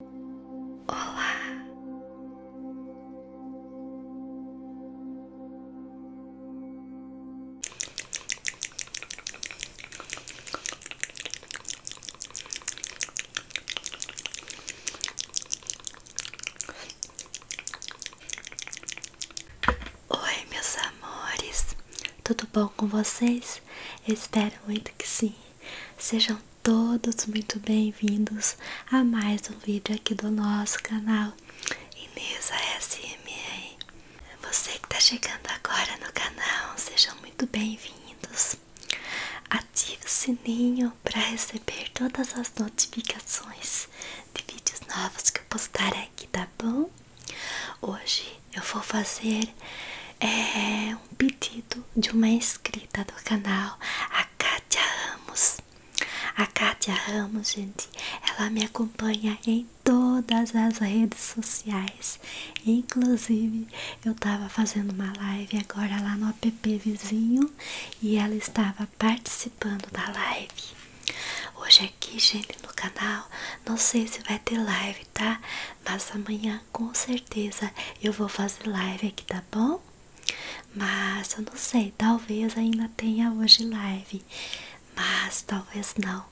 Olá. Oi, meus amores, tudo bom com vocês? espero muito que sim. Sejam todos muito bem-vindos a mais um vídeo aqui do nosso canal Inês ASMR. Você que está chegando agora no canal, sejam muito bem-vindos. Ative o sininho para receber todas as notificações de vídeos novos que eu postar aqui, tá bom? Hoje eu vou fazer é, um pedido de uma inscrita do canal, a Kátia Ramos. A Kátia Ramos, gente, ela me acompanha em todas as redes sociais. Inclusive, eu estava fazendo uma live agora lá no app vizinho e ela estava participando da live. Hoje aqui, gente, no canal, não sei se vai ter live, tá? Mas amanhã com certeza eu vou fazer live aqui, tá bom? Mas eu não sei, talvez ainda tenha hoje live, mas talvez não.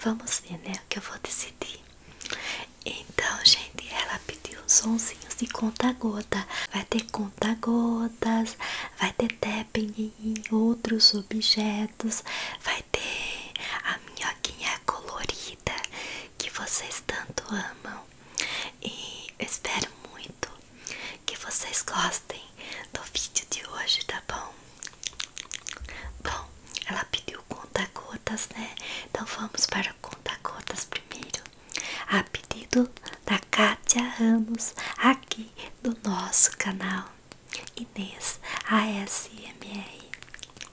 Vamos ver, né? O que eu vou decidir. Então, gente, ela pediu um sonzinhos de conta-gota. Vai ter conta-gotas, vai ter tapping em outros objetos, vai ter a minhoquinha colorida que vocês tanto amam. E espero muito que vocês gostem do vídeo de hoje, tá bom? Bom, ela pediu conta-gotas, né? Então vamos para o conta-gotas primeiro. A pedido da Kátia Ramos, aqui do nosso canal Inês ASMR.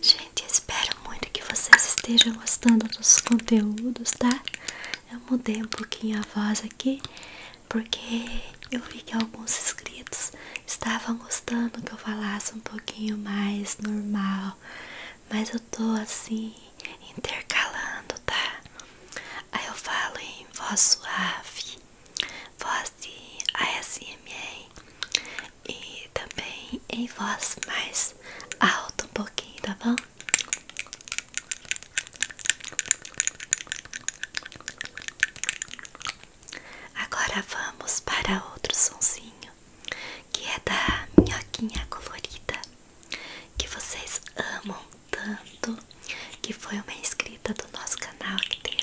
Gente, espero muito que vocês estejam gostando dos conteúdos, tá? Eu mudei um pouquinho a voz aqui, porque eu vi que alguns inscritos estavam gostando que eu falasse um pouquinho mais normal, mas eu tô assim intercalando, tá? Aí eu falo em voz suave, voz de ASMR e também em voz mais alta um pouquinho, tá bom? Agora vamos para outro sonzinho que é da minhoquinha colorida que vocês amam tanto que foi uma inscrita do nosso canal que deu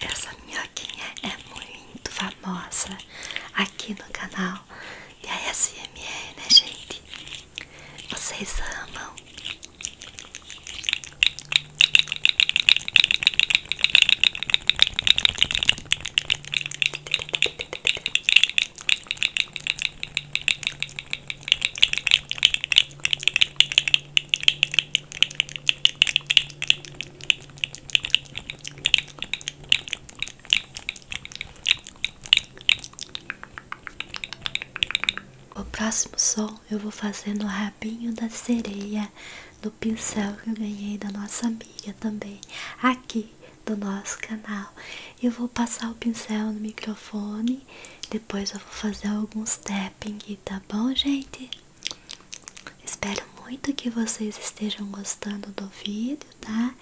Essa minhoquinha é muito famosa aqui no canal de ASMR, né gente? Vocês amam? O próximo som eu vou fazer no rabinho da sereia do pincel que eu ganhei da nossa amiga também aqui do nosso canal. Eu vou passar o pincel no microfone, depois eu vou fazer alguns tapping tá bom, gente? Espero muito que vocês estejam gostando do vídeo, tá?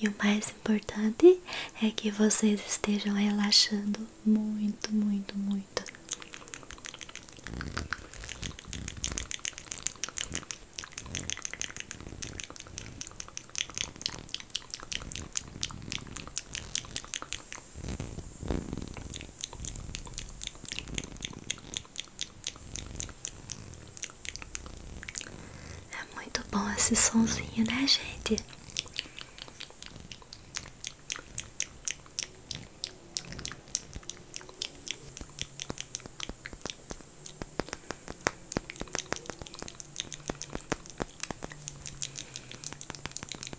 E o mais importante é que vocês estejam relaxando muito, muito, muito. É muito bom esse sonzinho, né, gente?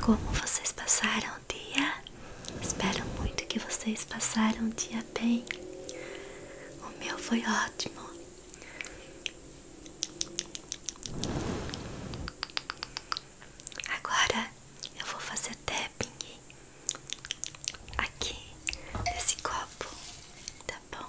Como vocês passaram o dia? Espero muito que vocês passaram o dia bem. O meu foi ótimo. Agora eu vou fazer tapping aqui nesse copo, tá bom?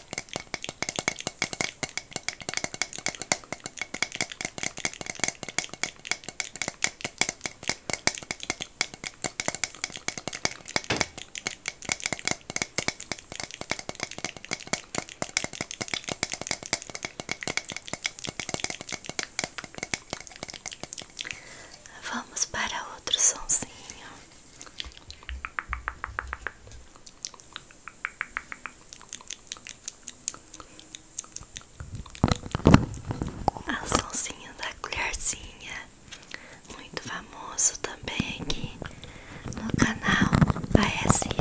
Vamos para outro sonzinho. A sonzinha da colherzinha, muito famoso também aqui no canal da SMA.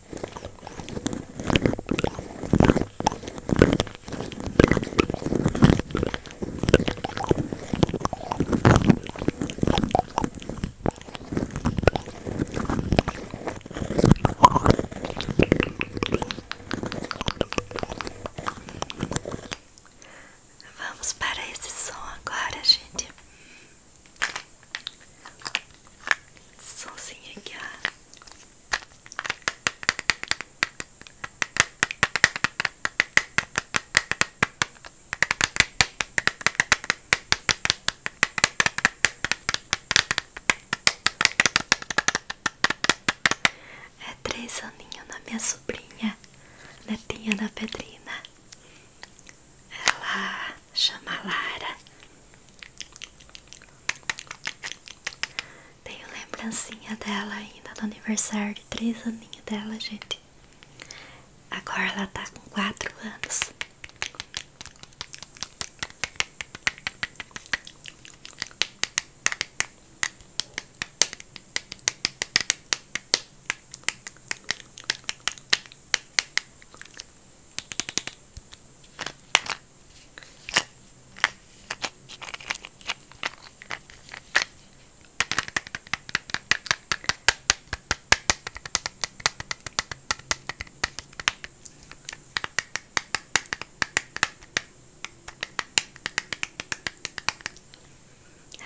Vamos para esse som agora, gente. Sonzinho aqui, é três aninhos na minha sobrinha, netinha da Pedrina. Ela chama Lara. Tenho lembrancinha dela ainda do aniversário de três aninhos dela, gente. Agora ela tá com quatro anos.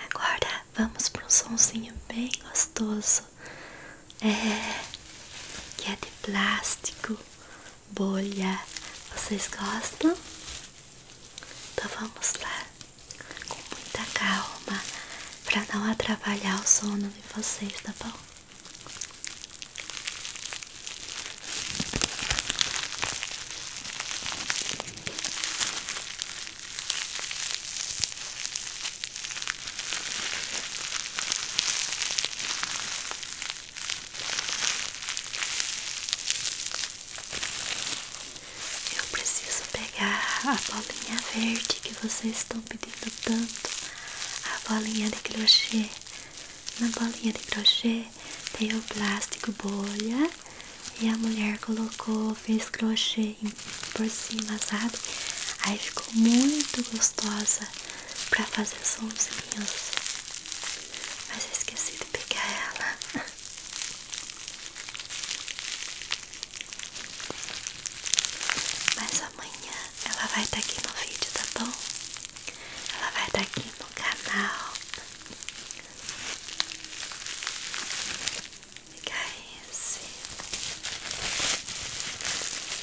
Agora vamos para um sonzinho bem gostoso, é, que é de plástico bolha. Vocês gostam? Então vamos lá, com muita calma, para não atrapalhar o sono de vocês, tá bom? Eu preciso pegar a bolinha verde que vocês estão pedindo tanto. A bolinha de crochê. Na bolinha de crochê tem o plástico bolha e a mulher colocou, fez crochê por cima, sabe? Aí ficou muito gostosa pra fazer sonzinhos. Mas esqueci de pegar ela. Mas amanhã ela vai estar tá aqui no vídeo, tá bom? Ela vai estar tá aqui no canal. Fica esse.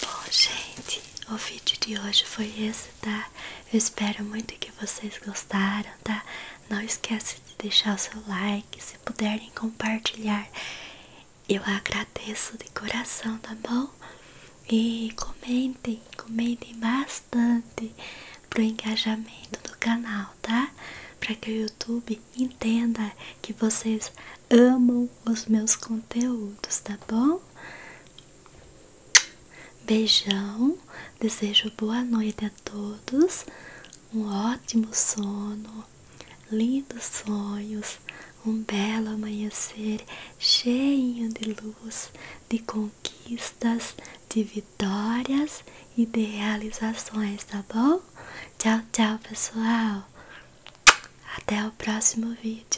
Bom, gente, o vídeo de hoje foi esse, tá? Eu espero muito que vocês gostaram, tá? Não esquece de deixar o seu like, se puderem compartilhar. Eu agradeço de coração, tá bom? E comentem, comentem bastante pro engajamento do canal, tá? Para que o YouTube entenda que vocês amam os meus conteúdos, tá bom? Beijão, desejo boa noite a todos, um ótimo sono, lindos sonhos, um belo amanhecer cheio de luz, de conquistas, de vitórias e de realizações, tá bom? Tchau, tchau, pessoal. Até o próximo vídeo.